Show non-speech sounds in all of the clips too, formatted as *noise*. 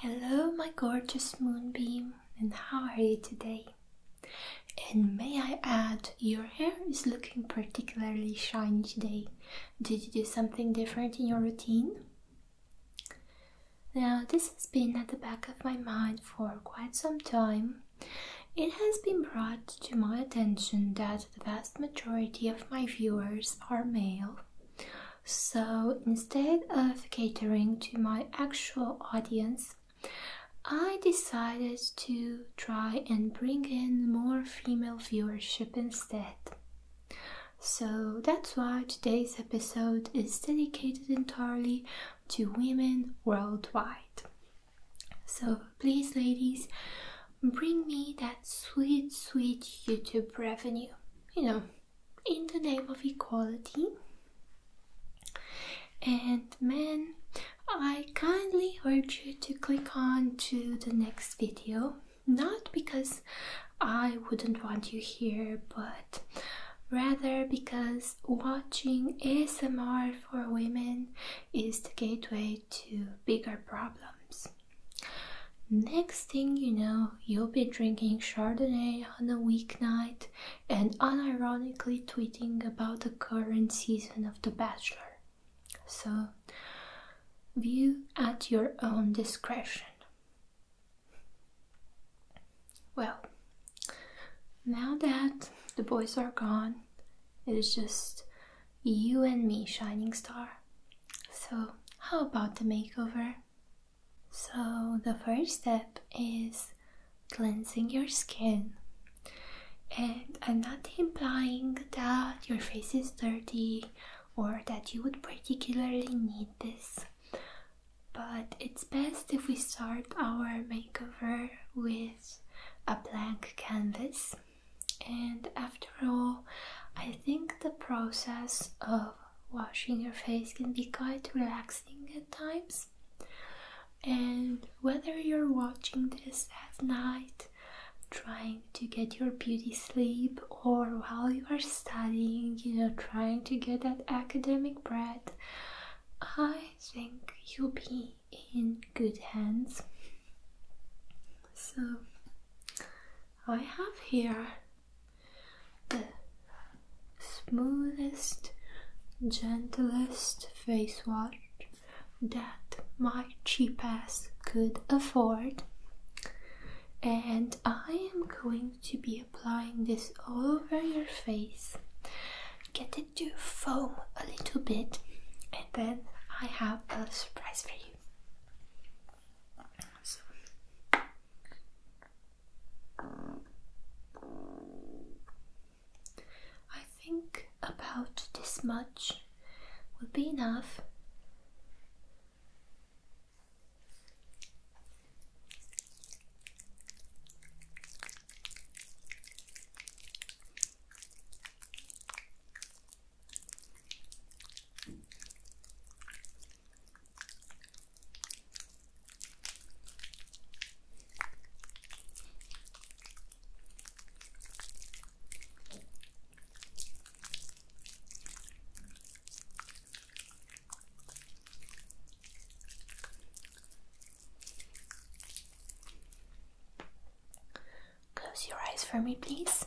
Hello, my gorgeous moonbeam, and how are you today? And may I add, your hair is looking particularly shiny today. Did you do something different in your routine? Now, this has been at the back of my mind for quite some time. It has been brought to my attention that the vast majority of my viewers are male, so instead of catering to my actual audience, I decided to try and bring in more female viewership instead. So that's why today's episode is dedicated entirely to women worldwide. So please, ladies, bring me that sweet, sweet YouTube revenue. You know, in the name of equality. And men, I kindly urge you to click on to the next video. Not because I wouldn't want you here, but rather because watching ASMR for women is the gateway to bigger problems. Next thing you know, you'll be drinking Chardonnay on a weeknight and unironically tweeting about the current season of The Bachelor. So, view at your own discretion. Well, now that the boys are gone, it is just you and me, Shining Star. So, how about the makeover? So, the first step is cleansing your skin. And I'm not implying that your face is dirty or that you would particularly need this, but it's best if we start our makeover with a blank canvas. And after all, I think the process of washing your face can be quite relaxing at times. And whether you're watching this at night, trying to get your beauty sleep, or while you are studying, you know, trying to get that academic bread, I think you'll be in good hands. So, I have here the smoothest, gentlest face wash that my cheap ass could afford. And I am going to be applying this all over your face. Get it to foam a little bit, and then I have a surprise for you. I think about this much will be enough. Close your eyes for me, please.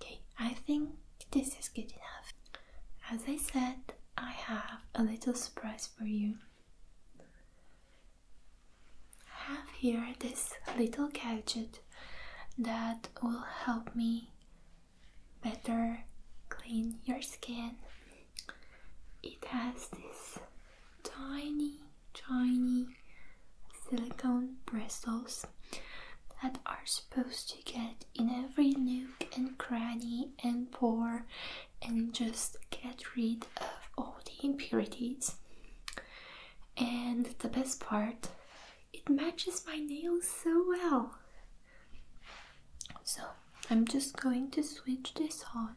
Okay, I think this is good enough. As I said, I have a little surprise for you. I have here this little gadget that will help me better clean your skin. It has this tiny, tiny silicone bristles that are supposed to get in every nook and cranny and pore and just get rid of all the impurities. And the best part, it matches my nails so well. So I'm just going to switch this on.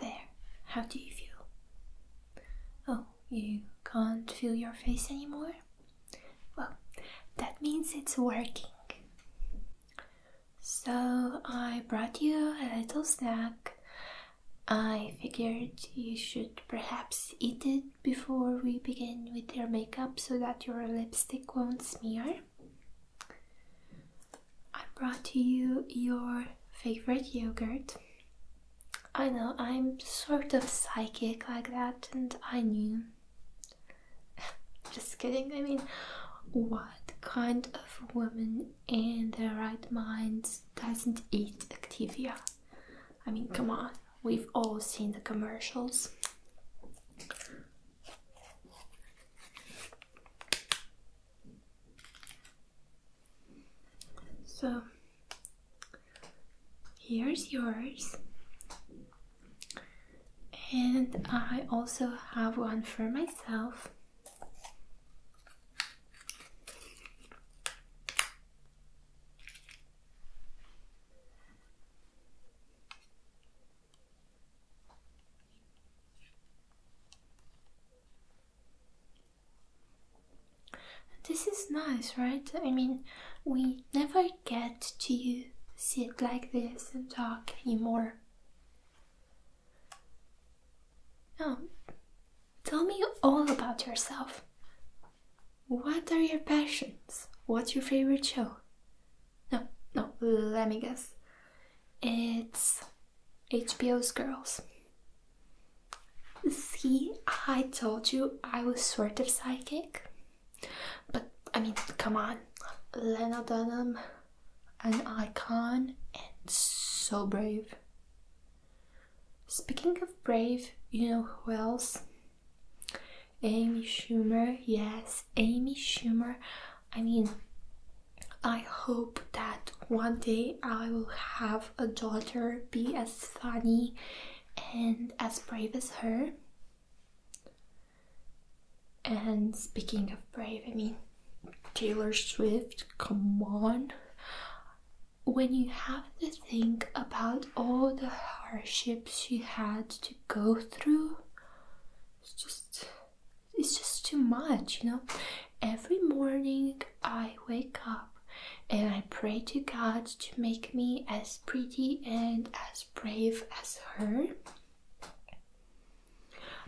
There, how do you feel? Oh, you can't feel your face anymore? Well, that means it's working. So I brought you a little snack. I figured you should perhaps eat it before we begin with your makeup so that your lipstick won't smear. I brought you your favorite yogurt. I know I'm sort of psychic like that, and I knew *sighs* Just kidding, I mean, what kind of woman in their right minds doesn't eat Activia? I mean, come mm. on, we've all seen the commercials. So here's yours and I also have one for myself. This is nice, right? I mean, we never get to sit like this and talk anymore. oh, tell me all about yourself. What are your passions? What's your favorite show? No, no, let me guess. It's HBO's Girls. See, I told you I was sort of psychic. But I mean, come on, Lena Dunham, an icon and so brave. Speaking of brave, you know who else? Amy Schumer, yes, Amy Schumer. I mean, I hope that one day I will have a daughter be as funny and as brave as her. And speaking of brave, I mean, Taylor Swift, come on. When you have to think about all the hardships she had to go through, it's just it's just too much, you know. Every morning I wake up and I pray to God to make me as pretty and as brave as her.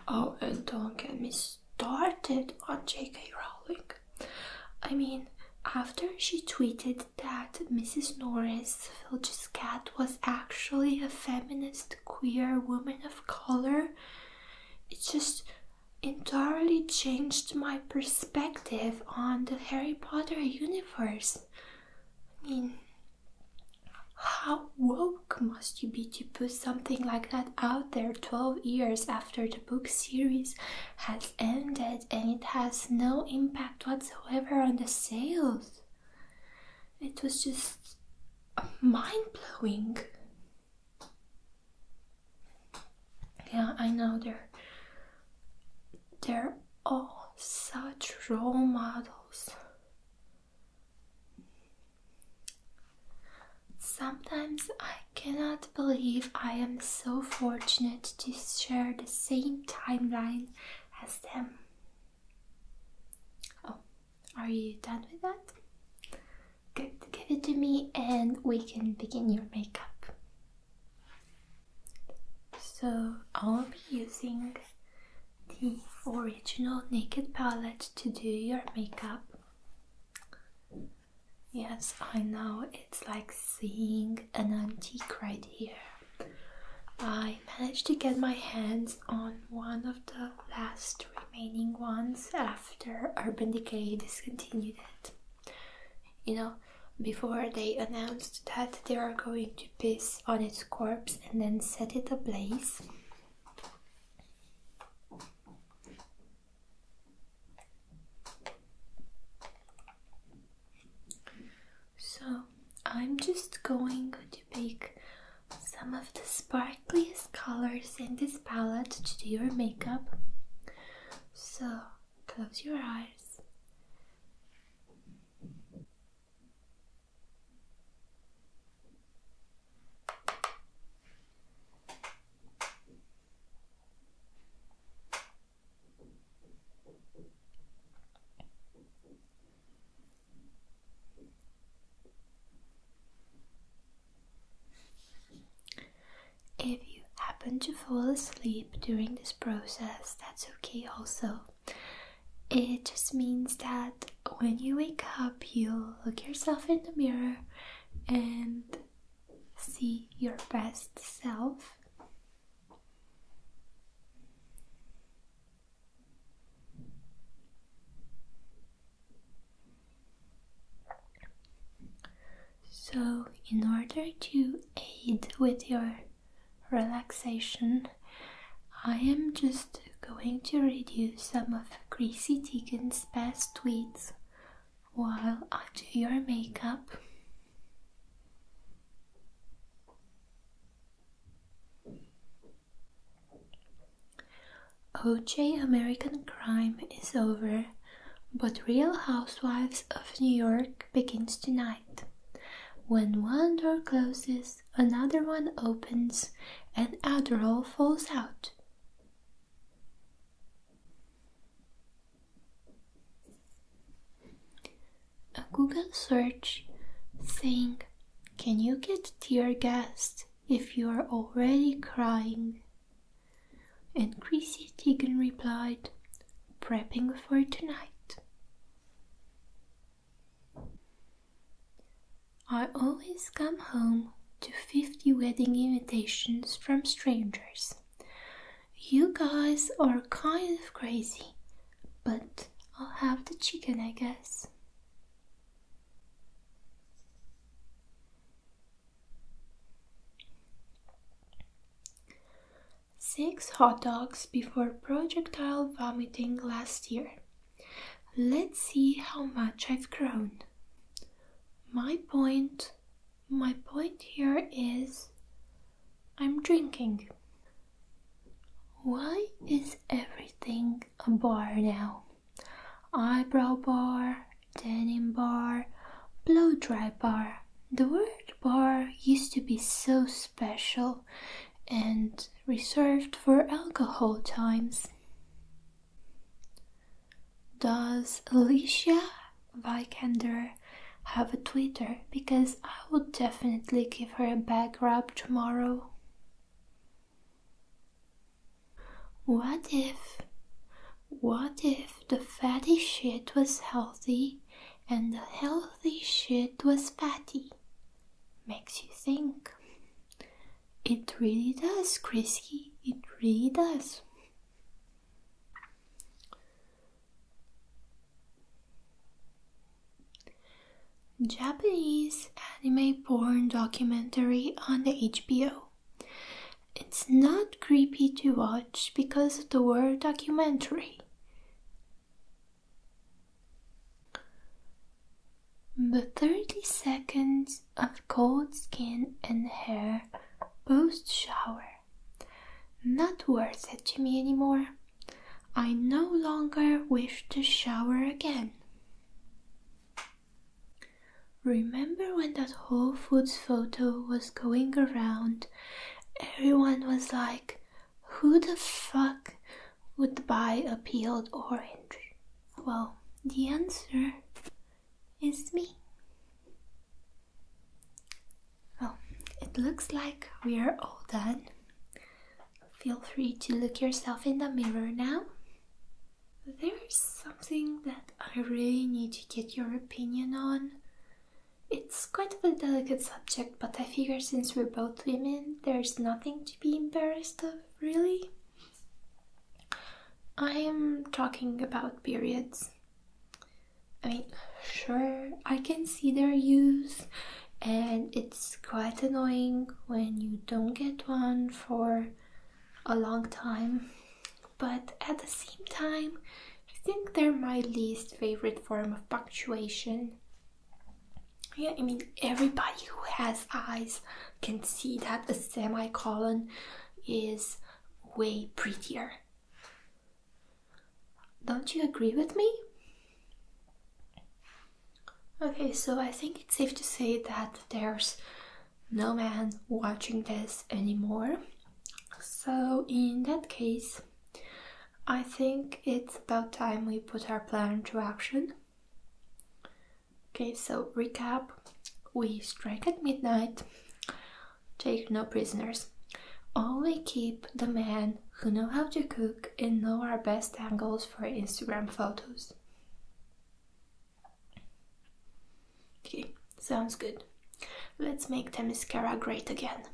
Oh, and don't get me started on J.K. Rowling. I mean, after she tweeted that Mrs. Norris, Filch's cat, was actually a feminist, queer woman of color, it just entirely changed my perspective on the Harry Potter universe. I mean, how woke must you be to put something like that out there 12 years after the book series has ended and it has no impact whatsoever on the sales? It was just mind blowing. Yeah, I know they're they're all such role models. Sometimes I cannot believe I am so fortunate to share the same timeline as them. Oh, are you done with that? Good, give it to me and we can begin your makeup. So, I'll be using the original Naked palette to do your makeup. Yes, I know it's like seeing an antique right here. I managed to get my hands on one of the last remaining ones after Urban Decay discontinued it. You know, before they announced that they are going to to on its corpse and then set it ablaze. So, I'm just going to pick some of the sparkliest colors in this palette to do your makeup. So, close your eyes if you happen to fall asleep during this process, that's okay also. It just means that when you wake up, you look yourself in the mirror and see your best self. So, in order to aid with your relaxation, I am just going to read you some of Chrissy Teigen's best tweets while I do your makeup. OJ American Crime is over, but Real Housewives of New York begins tonight. When one door closes, another one opens and other all falls out. A Google search saying, Can you get tear gas if you are already crying? And Chrissy Teigen replied, Prepping for tonight. I always come home to 50 wedding invitations from strangers. You guys are kind of crazy, but I'll have the chicken, I guess six hot dogs before projectile vomiting last year. Let's see how much I've grown. My point, my point here is I'm drinking. Why is everything a bar now? Eyebrow bar, denim bar, blow dry bar. The word bar used to be so special and reserved for alcohol times. Does Alicia Vikander have a Twitter? Because I would definitely give her a back rub tomorrow. What if, what if the fatty shit was healthy and the healthy shit was fatty. Makes you think. It really does, Chrissy. It really does. Japanese anime porn documentary on the HBO. It's not creepy to watch because of the word documentary. The 30 seconds of cold skin and hair post shower. Not worth it to me anymore. I no longer wish to shower again. Remember when that Whole Foods photo was going around? Everyone was like, who the fuck would buy a peeled orange? Well, the answer is me. Well, it looks like we're all done. Feel free to look yourself in the mirror now. There's something that I really need to get your opinion on. It's quite a delicate subject, but I figure since we're both women, there's nothing to be embarrassed of, really. I am talking about periods. I mean, sure, I can see their use, and it's quite annoying when you don't get one for a long time, but at the same time, I think they're my least favorite form of punctuation. Yeah, I mean, everybody who has eyes can see that a semicolon is way prettier. Don't you agree with me? Okay, so I think it's safe to say that there's no man watching this anymore. So, in that case, I think it's about time we put our plan into action. Okay, so recap we strike at midnight, take no prisoners, only keep the men who know how to cook and know our best angles for Instagram photos. Okay, sounds good. Let's make the Temiskara great again.